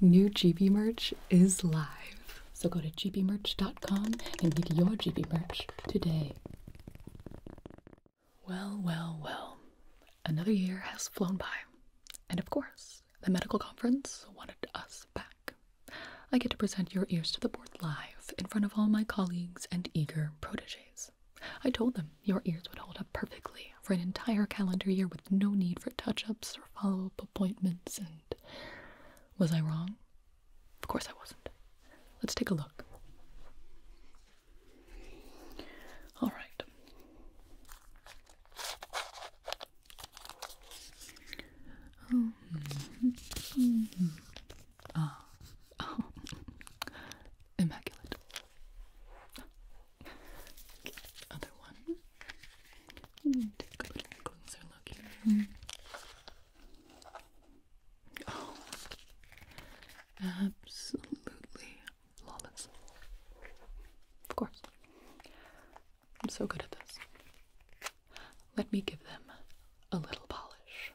New GB merch is live. So go to gbmerch.com and get your GB merch today. Well, well, well. Another year has flown by. And of course, the medical conference wanted us back. I get to present your ears to the board live in front of all my colleagues and eager proteges. I told them your ears would hold up perfectly for an entire calendar year with no need for touch ups or follow up appointments, and was I wrong? Of course I wasn't. Let's take a look. All right. Ah. immaculate other one. Take a closer look here. Oh, absolutely flawless. Of course. I'm so good at this. Let me give them a little polish.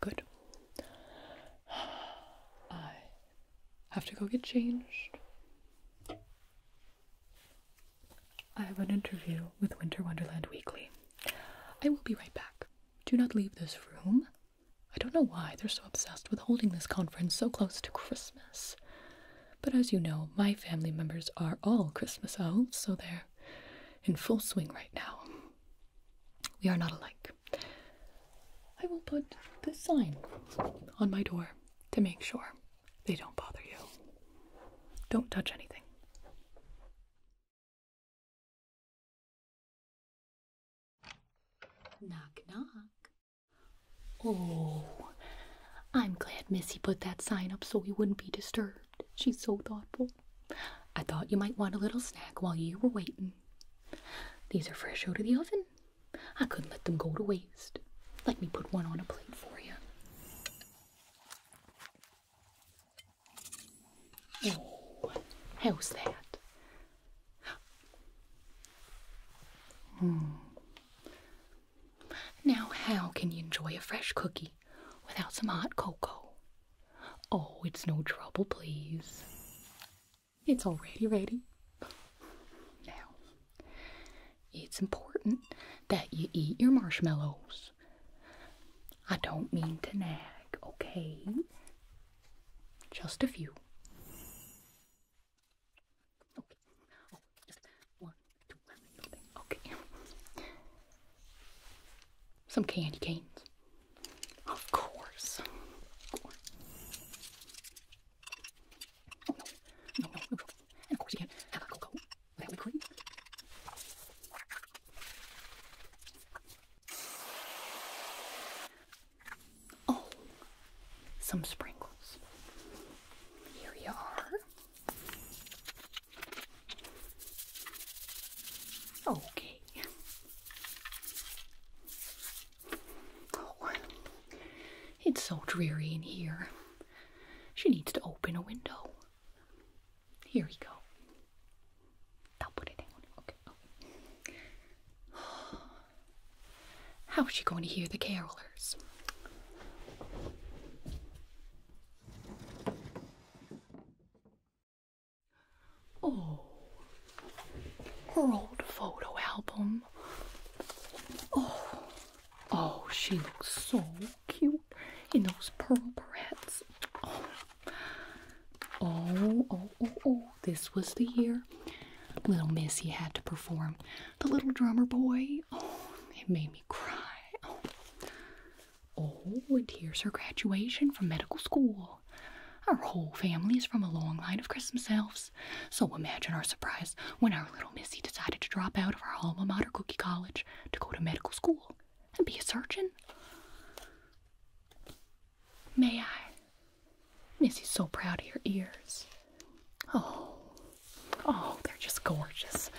Good. I have to go get changed. I have an interview with Winter Wonderland Weekly. I will be right back. Do not leave this room. I don't know why they're so obsessed with holding this conference so close to Christmas. But as you know, my family members are all Christmas elves, so they're in full swing right now. We are not alike. I will put this sign on my door to make sure. They don't bother you. Don't touch anything. Knock, knock. Oh, I'm glad Missy put that sign up so we wouldn't be disturbed. She's so thoughtful. I thought you might want a little snack while you were waiting. These are fresh out of the oven. I couldn't let them go to waste. Let me put one on a plate for you how's that? Hmm. Now, how can you enjoy a fresh cookie without some hot cocoa? Oh, it's no trouble, please. It's already ready. Now, it's important that you eat your marshmallows. I don't mean to nag, okay? Just a few. Okay. Oh, Some candy canes. Of course. Of no. No, no, no. And of course you can't have a cocoa really quick. Oh, some sprinkles. Here you are. Okay. Oh, it's so dreary in here. She needs to open a window. Here we go. How is she going to hear the carolers? Oh, her old photo album. Oh, oh, she looks so cute in those pearl barrettes. Oh. oh, oh, oh, oh. This was the year Little Missy had to perform The Little Drummer Boy. Oh, it made me cry. Oh, oh and here's her graduation from medical school. Our whole family is from a long line of Christmas elves, so imagine our surprise when our little Missy decided to drop out of her alma mater, Cookie College, to go to medical school and be a surgeon. May I? Missy's so proud of your ears. Oh, oh, they're just gorgeous.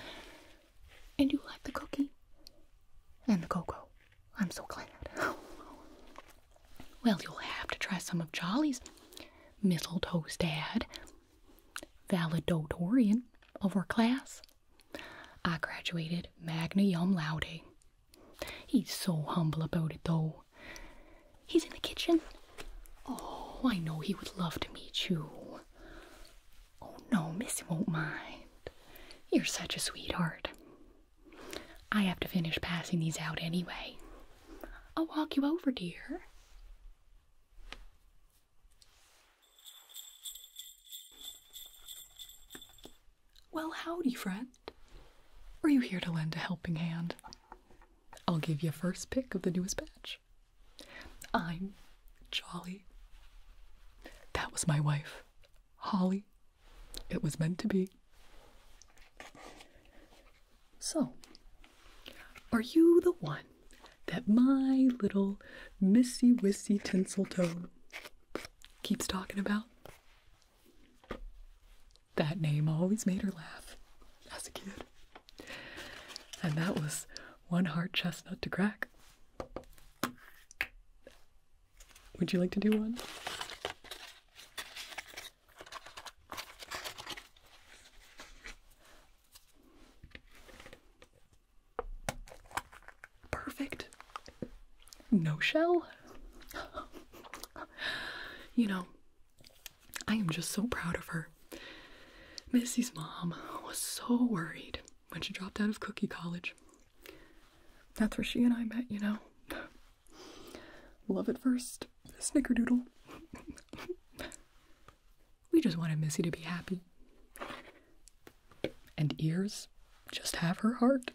And you like the cookie? And the cocoa. I'm so glad. Well, you'll have to try some of Jolly's mistletoe's dad valedictorian of our class. I graduated magna cum laude. He's so humble about it though. He's in the kitchen. Oh, I know he would love to meet you. Oh no, Missy won't mind. You're such a sweetheart. I have to finish passing these out anyway. I'll walk you over, dear. Well, howdy, friend. Are you here to lend a helping hand? I'll give you first pick of the newest batch. I'm Jolly. That was my wife, Holly. It was meant to be. So, are you the one that my little Missy Wissy Tinseltoe keeps talking about? That name always made her laugh as a kid. And that was one hard chestnut to crack. Would you like to do one? Perfect. No shell. you know, I am just so proud of her. Missy's mom was so worried when she dropped out of Cookie College. That's where she and I met, you know. Love at first, snickerdoodle. We just wanted Missy to be happy. And ears just have her heart.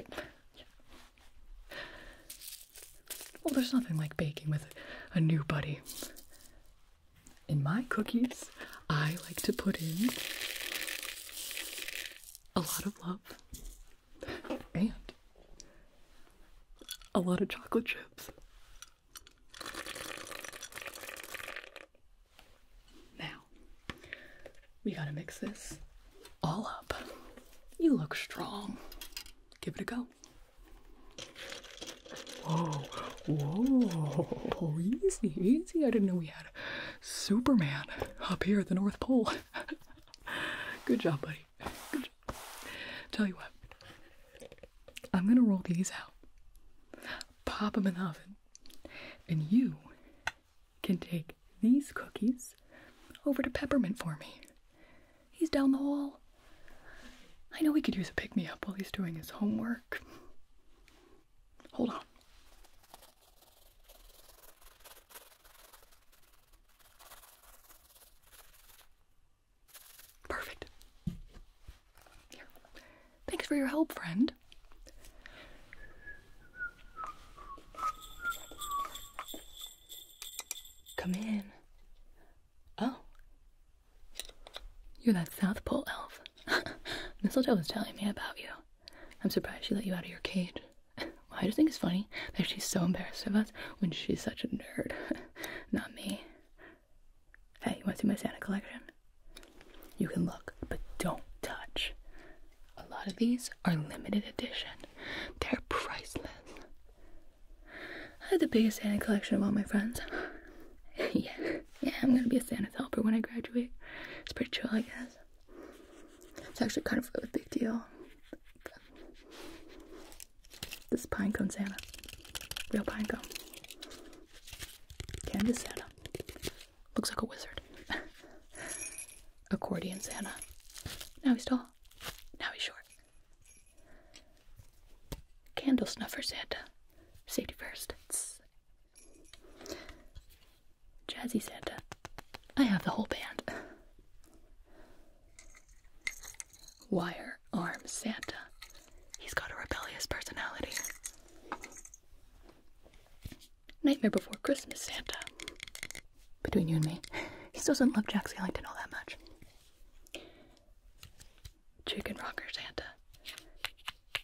Well, there's nothing like baking with a new buddy. In my cookies, I like to put in a lot of love and a lot of chocolate chips now, we gotta mix this all up. You look strong. Give it a go. Whoa, whoa, easy, easy. I didn't know we had Superman up here at the North Pole. Good job, buddy. Good job. Tell you what, I'm gonna roll these out, pop them in the oven, and you can take these cookies over to Peppermint for me. He's down the hall. I know he could use a pick me up while he's doing his homework. Hold on. Perfect. Thanks for your help, friend. Come in. Oh. You're that South Pole elf. Mistletoe was telling me about you. I'm surprised she let you out of your cage. I just think it's funny that she's so embarrassed of us when she's such a nerd. Not me. Hey, you want to see my Santa collection? You can look, but don't touch. A lot of these are limited edition, they're priceless. I have the biggest Santa collection of all my friends. yeah, yeah, I'm gonna be a Santa helper when I graduate. It's pretty chill, I guess. It's actually kind of a big deal. This is pine cone Santa. Real pine cone. Candy Santa. Looks like a wizard. Accordion Santa. Now he's tall. Now he's short. Candle snuffer Santa. Safety first. Tss. Jazzy Santa. I have the whole band wire arm Santa. He's got a rebellious personality. Nightmare Before Christmas Santa. Between you and me, he still doesn't love Jack Skellington all that much. Chicken Rocker Santa.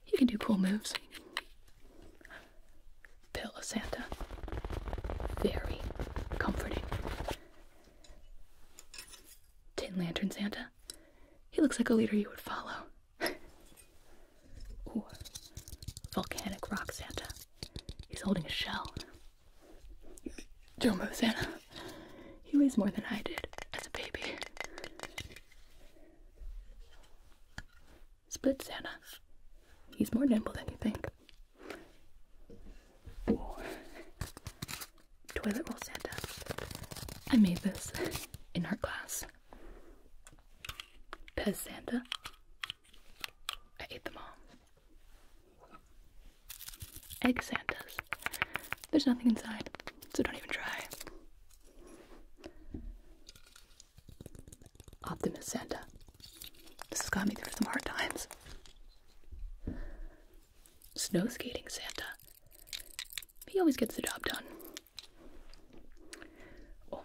He can do cool moves. Pillow Santa. Very comforting. Tin Lantern Santa. He looks like a leader you would follow. Volcanic Rock Santa. He's holding a shell. Jumbo Santa. He weighs more than I did as a baby. Split Santa. He's more nimble than you think toilet bowl Santa. I made this in art class. Pez Santa. I ate them all. Egg Santas. There's nothing inside, so don't even try. Optimus Santa. This has got me through some hard times. Snow skating Santa. He always gets the job done. Oh,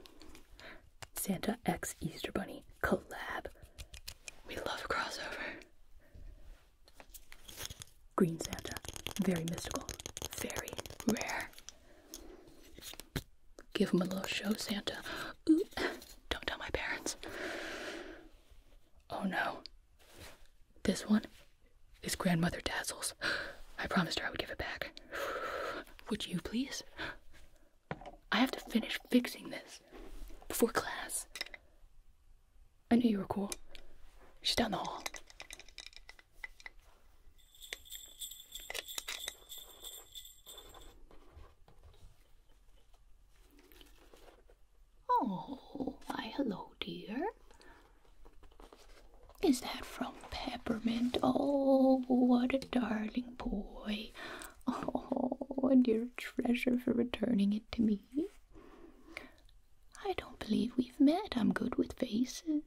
Santa X Easter Bunny collab. We love crossover. Green Santa. Very mystical. Very rare. Give him a little show, Santa. Ooh, don't tell my parents. Oh no. This one is Grandmother Dazzle's. I promised her I would give it back. Would you please? I have to finish fixing this before class. I knew you were cool. She's down the hall. Oh, hi, hello, dear. Is that from Peppermint? Oh, what a darling boy. Oh, a dear treasure for returning it to me. I don't believe we've met. I'm good with faces.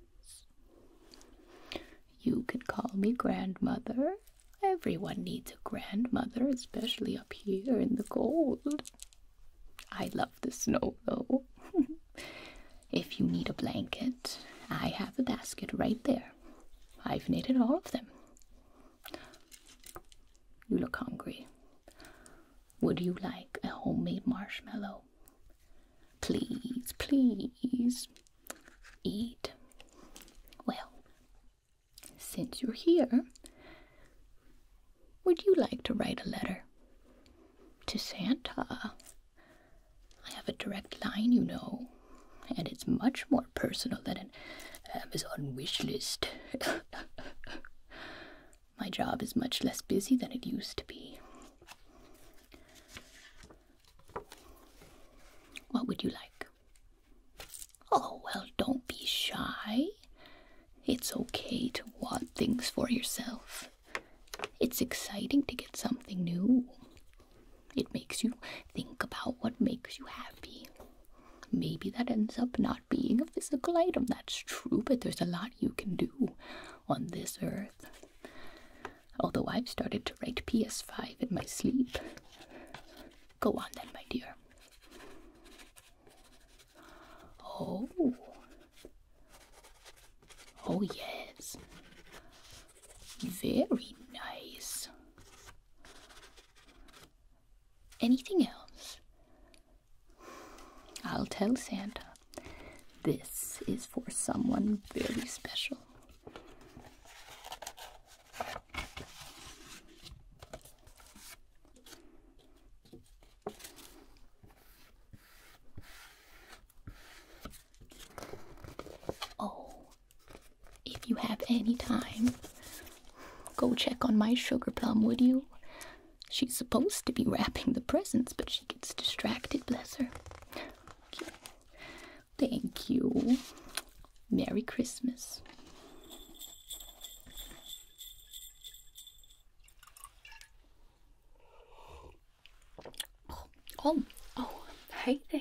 You can call me grandmother. Everyone needs a grandmother, especially up here in the cold. I love the snow though. if you need a blanket, I have a basket right there. I've knitted all of them. You look hungry. Would you like a homemade marshmallow? Please, please eat. Well, since you're here, would you like to write a letter? To Santa. I have a direct line, you know, and it's much more personal than an Amazon wish list. My job is much less busy than it used to be. What would you like? Oh, well, don't be shy. It's okay to want things for yourself. It's exciting to get something new. It makes you think about what makes you happy. Maybe that ends up not being a physical item, that's true, but there's a lot you can do on this earth. Although I've started to write PS5 in my sleep. Go on then, my dear. Oh. Oh, yes. Very nice. Anything else? I'll tell Santa. This is for someone very special. Oh, if you have any time, go check on my sugar plum, would you? She's supposed to be wrapping the presents, but she gets distracted, bless her. Thank you. Merry Christmas. Oh, oh, hey there.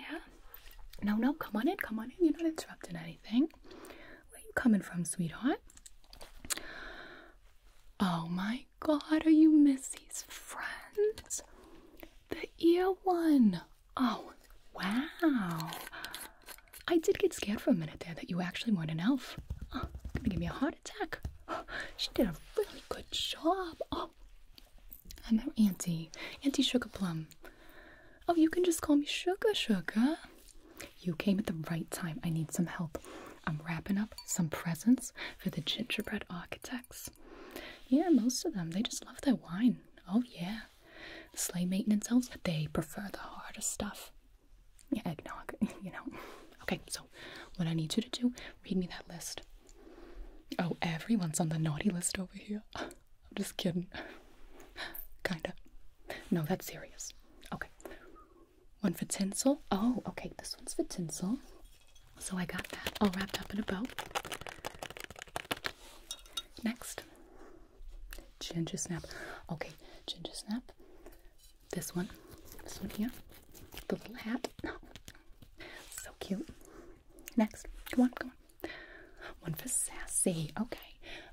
No, no, come on in, come on in. You're not interrupting anything. Where you coming from, sweetheart? Oh my god, are you Missy's friend? The ear one. Oh, wow. I did get scared for a minute there that you actually weren't an elf. Oh, it's gonna give me a heart attack. she did a really good job. Oh, I'm her auntie, Auntie Sugar Plum. Oh, you can just call me Sugar Sugar. You came at the right time. I need some help. I'm wrapping up some presents for the gingerbread architects. Yeah, most of them, they just love their wine. Oh, yeah. The sleigh maintenance elves, they prefer the harder stuff yeah, eggnog, you know. Okay, so what I need you to do, read me that list. Oh, everyone's on the naughty list over here. I'm just kidding. Kinda. No, that's serious. Okay. One for tinsel. Oh, okay, this one's for tinsel. So I got that all wrapped up in a bow. Next, Ginger snap. Okay, ginger snap. This one. This one here. The little hat. No. So cute. Next. Come on, come on. One for Sassy. Okay.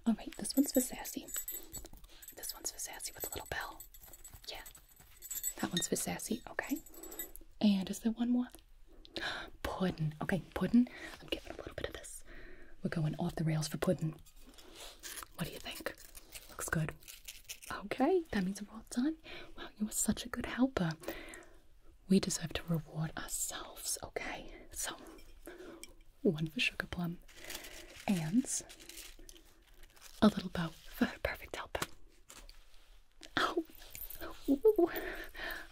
Alright, this one's for Sassy. This one's for Sassy with a little bell. Yeah. That one's for Sassy. Okay. And is there one more? Puddin. Okay, Puddin. I'm giving a little bit of this. We're going off the rails for Puddin. What do you think? Looks good. Okay, that means we're all done. Wow, you were such a good helper. We deserve to reward ourselves, okay? So, one for Sugar Plum and a little bow for her perfect helper. Oh,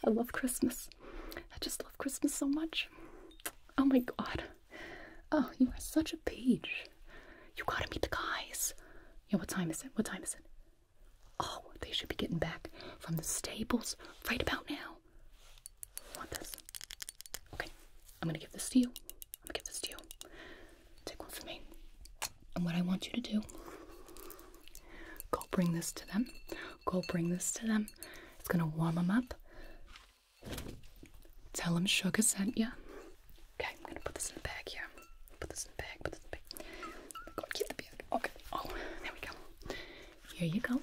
I love Christmas. I just love Christmas so much. Oh my god. Oh, you are such a peach. You gotta meet the guys. Yeah, what time is it? What time is it? Oh, they should be getting back from the stables right about now. I want this? Okay, I'm gonna give this to you. I'm gonna give this to you. Take one for me. And what I want you to do, go bring this to them. Go bring this to them. It's gonna warm them up. Tell him Sugar sent you. Okay, I'm gonna put this in the bag here. Put this in the bag, put this in the bag. Oh God, get the bag. Okay, oh, there we go. Here you go.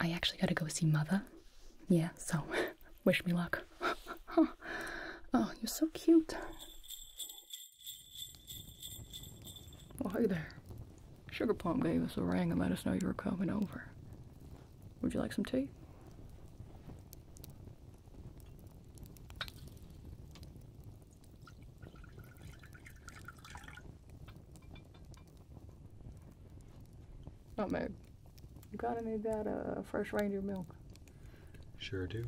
I actually gotta go see Mother. Yeah, so wish me luck. oh, you're so cute. Oh, hi there. Sugar Plum gave us a ring and let us know you were coming over. Would you like some tea? Nutmeg. You gotta need that uh, fresh reindeer milk. Sure do.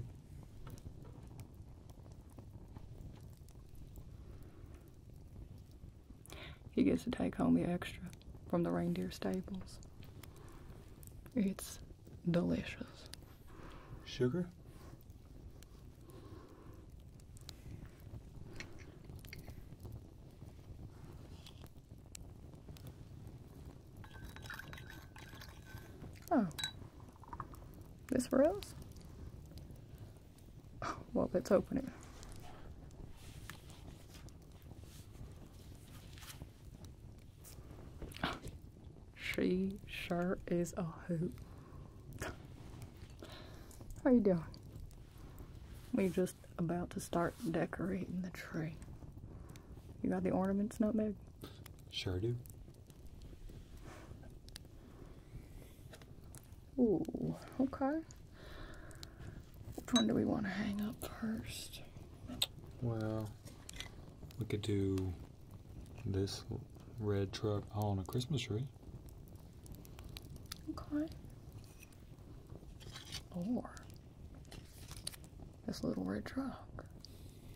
He gets to take home the extra from the reindeer stables. It's delicious. Sugar? Oh. This for well, let's open it. She sure is a hoot. How you doing? we just about to start decorating the tree. You got the ornaments, not big? Sure do. Ooh, okay. Which one do we want to hang up first? Well, we could do this red truck on a Christmas tree. Okay. Or this little red truck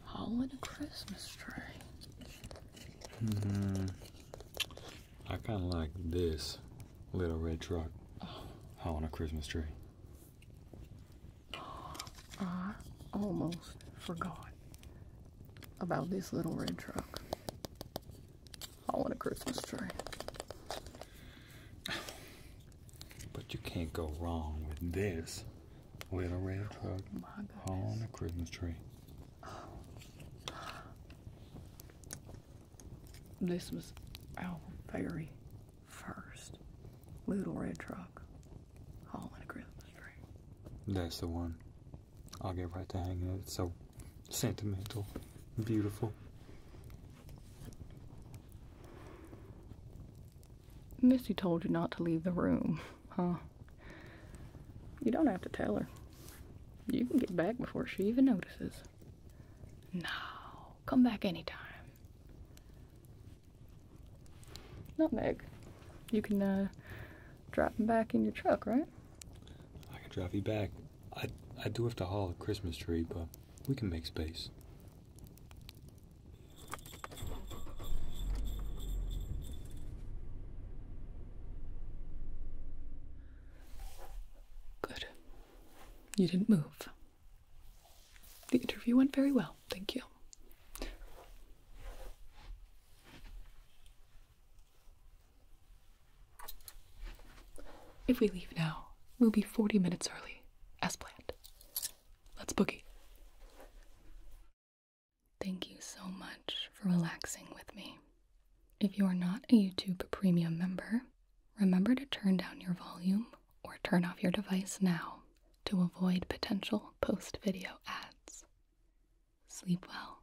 hauling a Christmas tree. hmm I kind of like this little red truck on a Christmas tree. I almost forgot about this little red truck on a Christmas tree. But you can't go wrong with this little red truck on oh a Christmas tree. Oh. This was our oh, very first little red truck hauling a Christmas tree. That's the one. I'll get right to hanging it. so sentimental, beautiful. Missy told you not to leave the room, huh? You don't have to tell her. You can get back before she even notices. Now, come back anytime. Nutmeg, you can uh, drop him back in your truck, right? I can drop you back. I I do have to haul a Christmas tree, but we can make space. Good. You didn't move. The interview went very well, thank you. If we leave now, we'll be 40 minutes early, as planned. Let's boogie. Thank you so much for relaxing with me. If you are not a YouTube Premium member, remember to turn down your volume or turn off your device now to avoid potential post video ads. Sleep well.